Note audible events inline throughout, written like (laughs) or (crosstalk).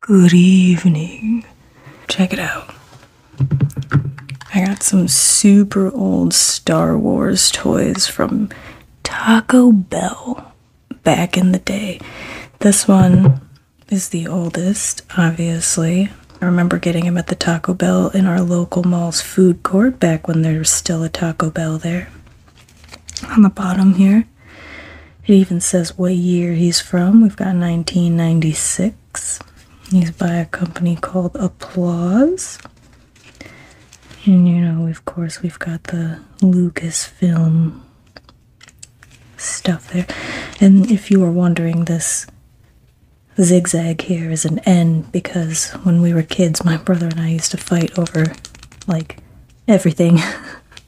Good evening. Check it out. I got some super old Star Wars toys from Taco Bell back in the day. This one is the oldest, obviously. I remember getting him at the Taco Bell in our local mall's food court back when there was still a Taco Bell there on the bottom here. It even says what year he's from. We've got 1996. He's by a company called Applause. And you know, of course, we've got the Lucasfilm stuff there. And if you are wondering, this zigzag here is an N because when we were kids, my brother and I used to fight over, like, everything.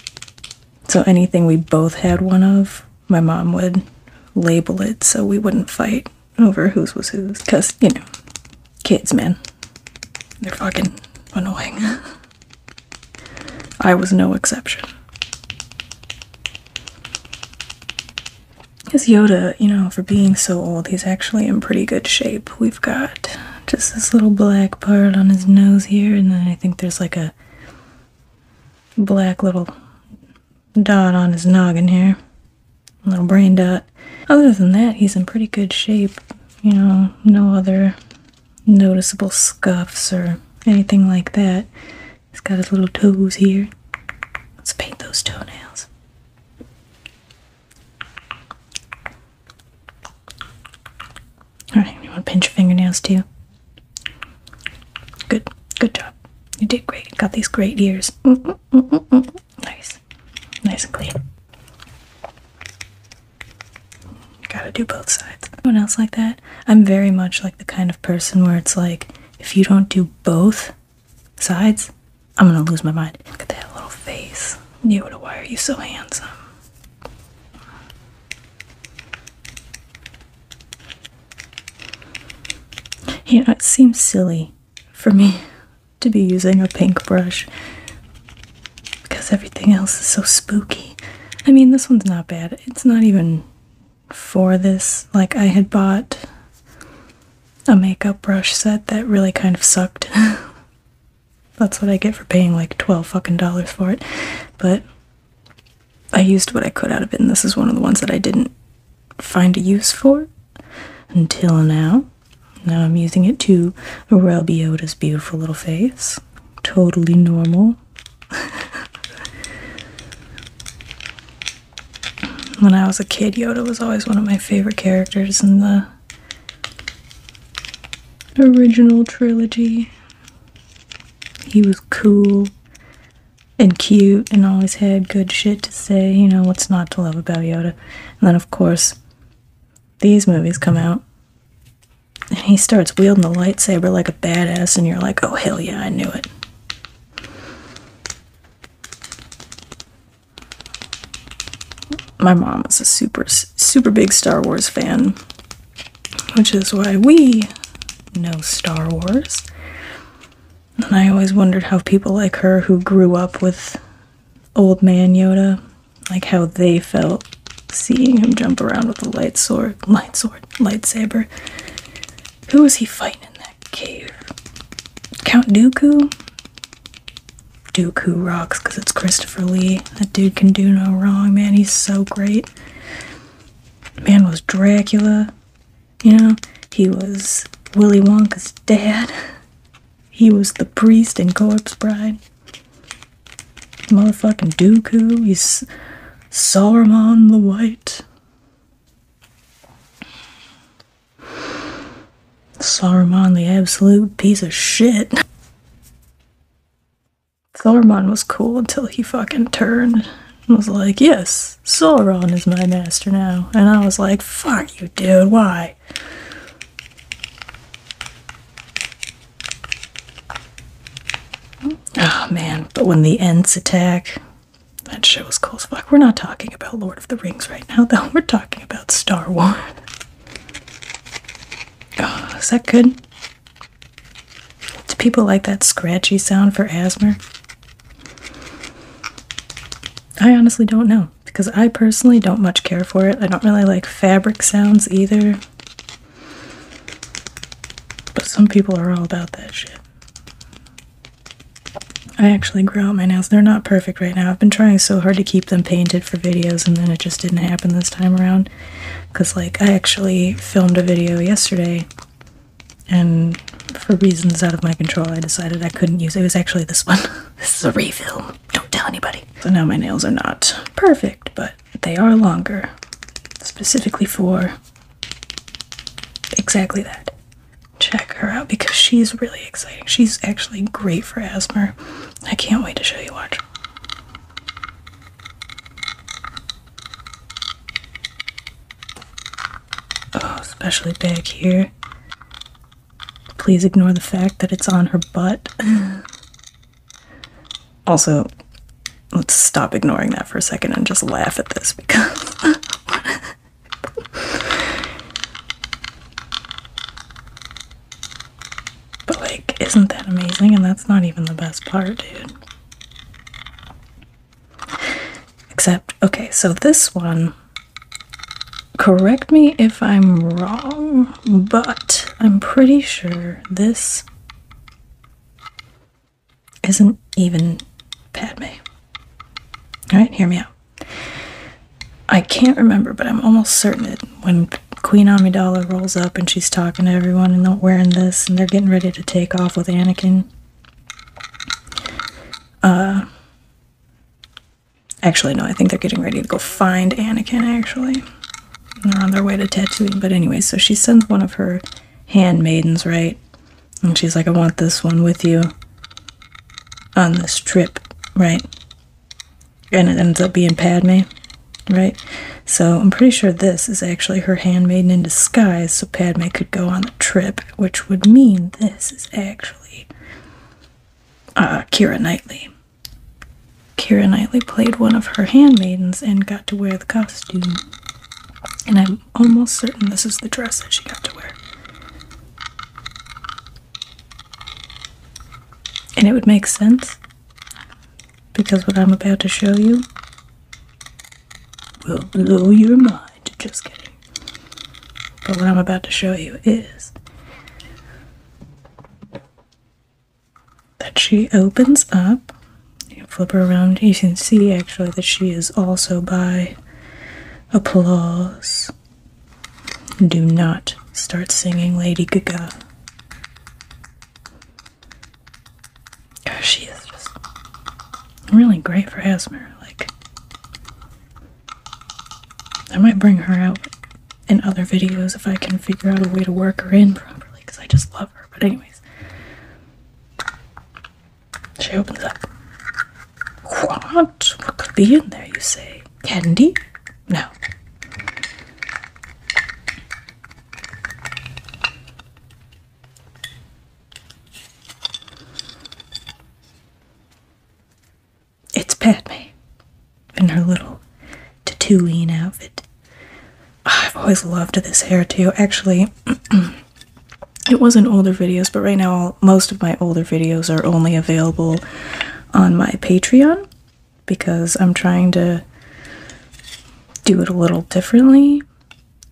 (laughs) so anything we both had one of, my mom would label it so we wouldn't fight over whose was whose. Because, you know, kids, man. They're fucking annoying. (laughs) I was no exception. Because Yoda, you know, for being so old, he's actually in pretty good shape got just this little black part on his nose here, and then I think there's like a black little dot on his noggin here. little brain dot. Other than that, he's in pretty good shape. You know, no other noticeable scuffs or anything like that. He's got his little toes here. Let's paint those toenails. Alright, you want to pinch your fingernails too? Good, good job. You did great. got these great ears. Nice, nice and clean. gotta do both sides. Anyone else like that? I'm very much like the kind of person where it's like, if you don't do both sides, I'm gonna lose my mind. Look at that little face. Yoda, why are you so handsome? You know, it seems silly for me to be using a pink brush because everything else is so spooky. I mean, this one's not bad. It's not even for this. Like, I had bought a makeup brush set that really kind of sucked. (laughs) That's what I get for paying like 12 fucking dollars for it. But I used what I could out of it, and this is one of the ones that I didn't find a use for until now. Now I'm using it to rub Yoda's beautiful little face. Totally normal. (laughs) when I was a kid, Yoda was always one of my favorite characters in the original trilogy. He was cool and cute and always had good shit to say, you know, what's not to love about Yoda. And then, of course, these movies come out. And he starts wielding the lightsaber like a badass, and you're like, oh, hell yeah, I knew it my mom is a super super big Star Wars fan, which is why we know Star Wars. And I always wondered how people like her who grew up with old man Yoda, like how they felt seeing him jump around with a light sword, light lightsaber. Who was he fighting in that cave? Count Dooku? Duke who rocks because it's Christopher Lee. That dude can do no wrong, man. He's so great. Man was Dracula, you know? He was Willy Wonka's dad. (laughs) He was the priest in Corpse Bride. Motherfucking Dooku. He's Sauron the White. Sauron, the absolute piece of shit. Saruman was cool until he fucking turned and was like, Yes, Sauron is my master now. And I was like, Fuck you, dude, why? Oh man, but when the Ents attack, that shit was cool as fuck. We're not talking about Lord of the Rings right now, though. We're talking about Star Wars is that good? Do people like that scratchy sound for asthma? I honestly don't know because I personally don't much care for it. I don't really like fabric sounds either. But some people are all about that shit. I actually grew out my nails. They're not perfect right now. I've been trying so hard to keep them painted for videos, and then it just didn't happen this time around. Because, like, I actually filmed a video yesterday, and for reasons out of my control, I decided I couldn't use it. It was actually this one. (laughs) this is a refill. Don't tell anybody. So now my nails are not perfect, but they are longer, specifically for exactly that. Check her out because she's really exciting. She's actually great for asthma. I can't wait to show you watch. Oh, especially back here. Please ignore the fact that it's on her butt. (sighs) also, let's stop ignoring that for a second and just laugh at this because (laughs) But, like, isn't that amazing? And that's not even the best part, dude. Except, okay, so this one, correct me if I'm wrong, but I'm pretty sure this isn't even Padme. Alright, hear me out. I can't remember, but I'm almost certain that when Queen Amidala rolls up and she's talking to everyone and they're wearing this and they're getting ready to take off with Anakin. Uh, actually, no, I think they're getting ready to go find Anakin, actually. they're on their way to tattooing. but anyway, so she sends one of her handmaidens, right? And she's like, I want this one with you on this trip, right? and it ends up being Padme, right? So I'm pretty sure this is actually her handmaiden in disguise, so Padme could go on the trip, which would mean this is actually uh, Kira Knightley. Kira Knightley played one of her handmaidens and got to wear the costume. And I'm almost certain this is the dress that she got to wear. And it would make sense because what I'm about to show you will blow your mind. Just kidding. But what I'm about to show you is that she opens up. You flip her around. You can see actually that she is also by applause do not start singing Lady Gaga. She is just really great for asthma. Like, I might bring her out in other videos if I can figure out a way to work her in properly because I just love her. But, anyways, she opens up. What? What could be in there, you say? Candy? No. It's Padme in her little Tatooine outfit. I've always loved this hair too. Actually, (clears throat) it was in older videos, but right now all most of my older videos are only available on my Patreon because I'm trying to do it a little differently.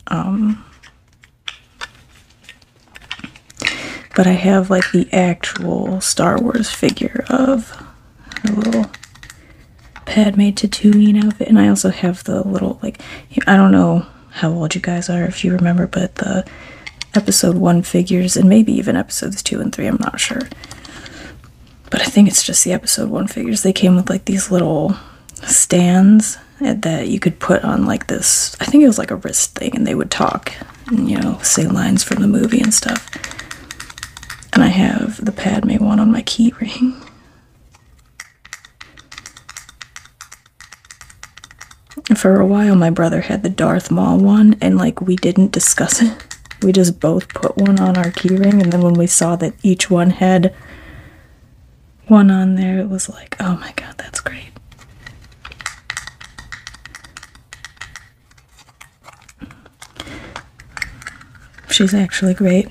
Um, but I have like the actual Star Wars figure of a little Padme Tatooine outfit, and I also have the little like I don't know how old you guys are if you remember, but the episode one figures and maybe even episodes two and three, I'm not sure but I think it's just the episode one figures. They came with like these little stands that you could put on like this. I think it was like a wrist thing, and they would talk and you know say lines from the movie and stuff. And I have the Padme one on my key ring. for a while, my brother had the Darth Maul one, and like we didn't discuss it we just both put one on our keyring, and then when we saw that each one had one on there, it was like, oh my god, that's great. She's actually great.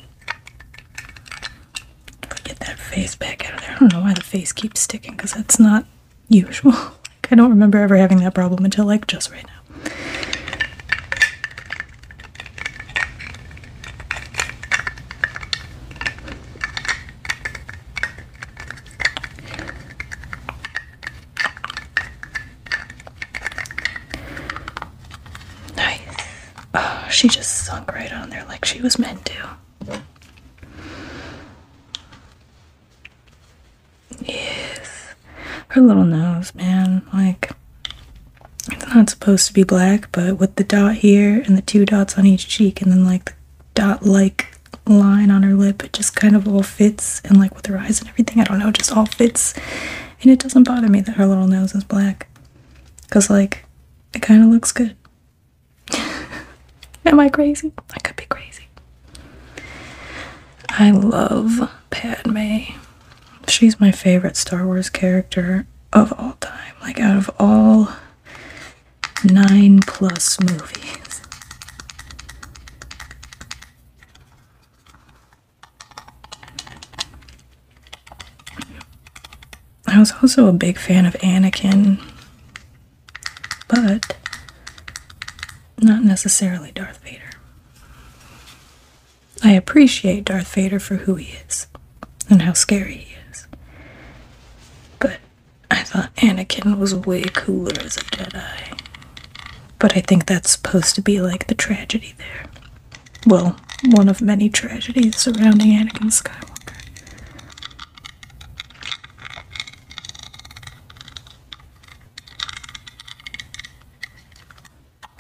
I get that face back out of there, I don't know why the face keeps sticking because that's not usual. (laughs) I don't remember ever having that problem until like just right now. Nice. Oh, she just sunk right on there like she was meant to. Yes. Her little nose, man. Like, it's not supposed to be black, but with the dot here and the two dots on each cheek, and then like the dot like line on her lip, it just kind of all fits. And like with her eyes and everything, I don't know, it just all fits. And it doesn't bother me that her little nose is black. Because, like, it kind of looks good. (laughs) Am I crazy? I could be crazy. I love Padme. She's my favorite Star Wars character of all time. Like, out of all nine plus movies. I was also a big fan of Anakin, but not necessarily Darth Vader. I appreciate Darth Vader for who he is and how scary he is. But I thought Anakin was way cooler as a Jedi. But I think that's supposed to be like the tragedy there. Well, one of many tragedies surrounding Anakin Skywalker.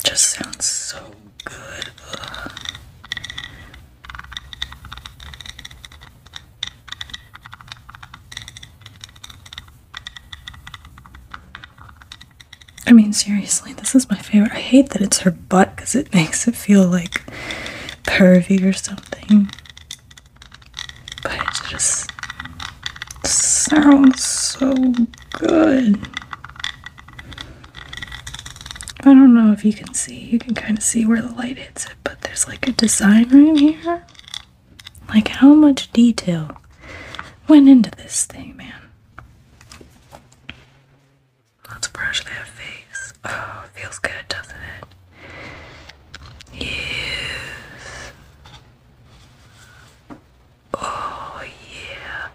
Just sounds so good. I mean, seriously, this is my favorite. I hate that it's her butt because it (laughs) makes it feel like pervy or something. But it's just sounds so good. I don't know if you can see, you can kind of see where the light hits it, but there's like a design right here. Like, how much detail went into this thing, man? Let's brush that face. Oh, feels good, doesn't it? Yes. Oh, yeah.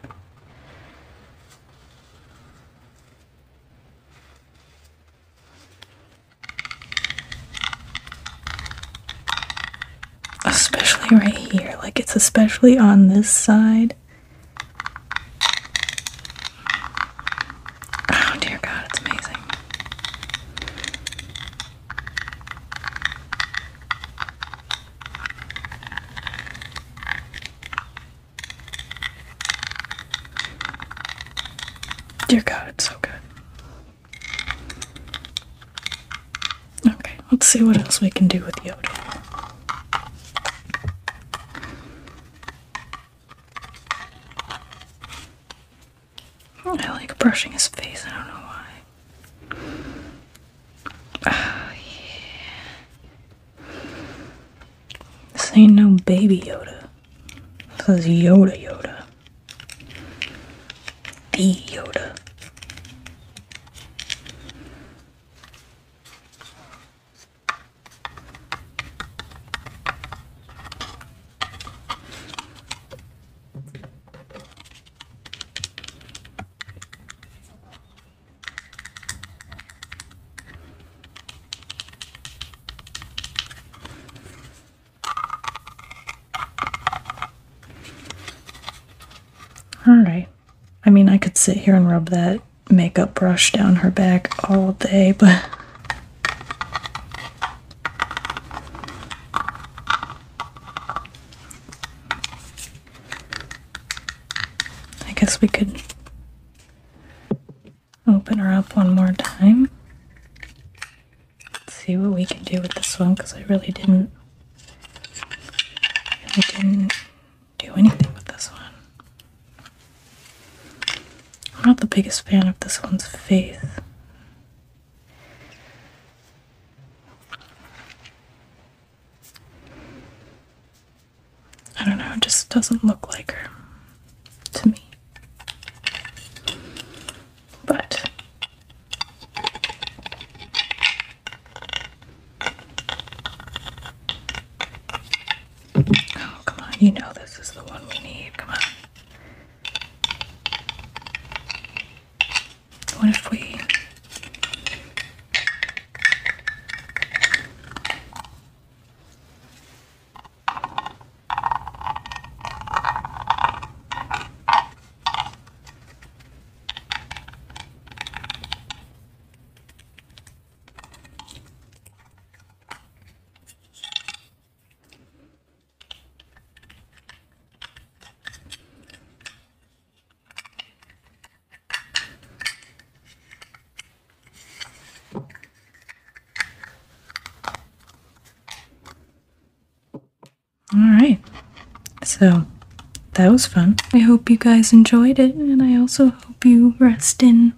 Especially right here, like it's especially on this side. Oh, dear God, it's amazing. Dear God, it's so good. Okay, let's see what else we can do with Yoda. I like brushing his face, I don't know why. This ain't no baby Yoda. This is Yoda Yoda. The Yoda. All right. I mean, I could sit here and rub that makeup brush down her back all day, but. I guess we could open her up one more time. see what we can do with this one because I really didn't really didn't do anything with this one. I'm not the biggest fan of this one's face. I don't know, it just doesn't look like her to me. But Oh, come on. You know this is the one we need. Come on. What if we all right. So that was fun. I hope you guys enjoyed it, and I also hope you rest in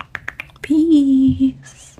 peace.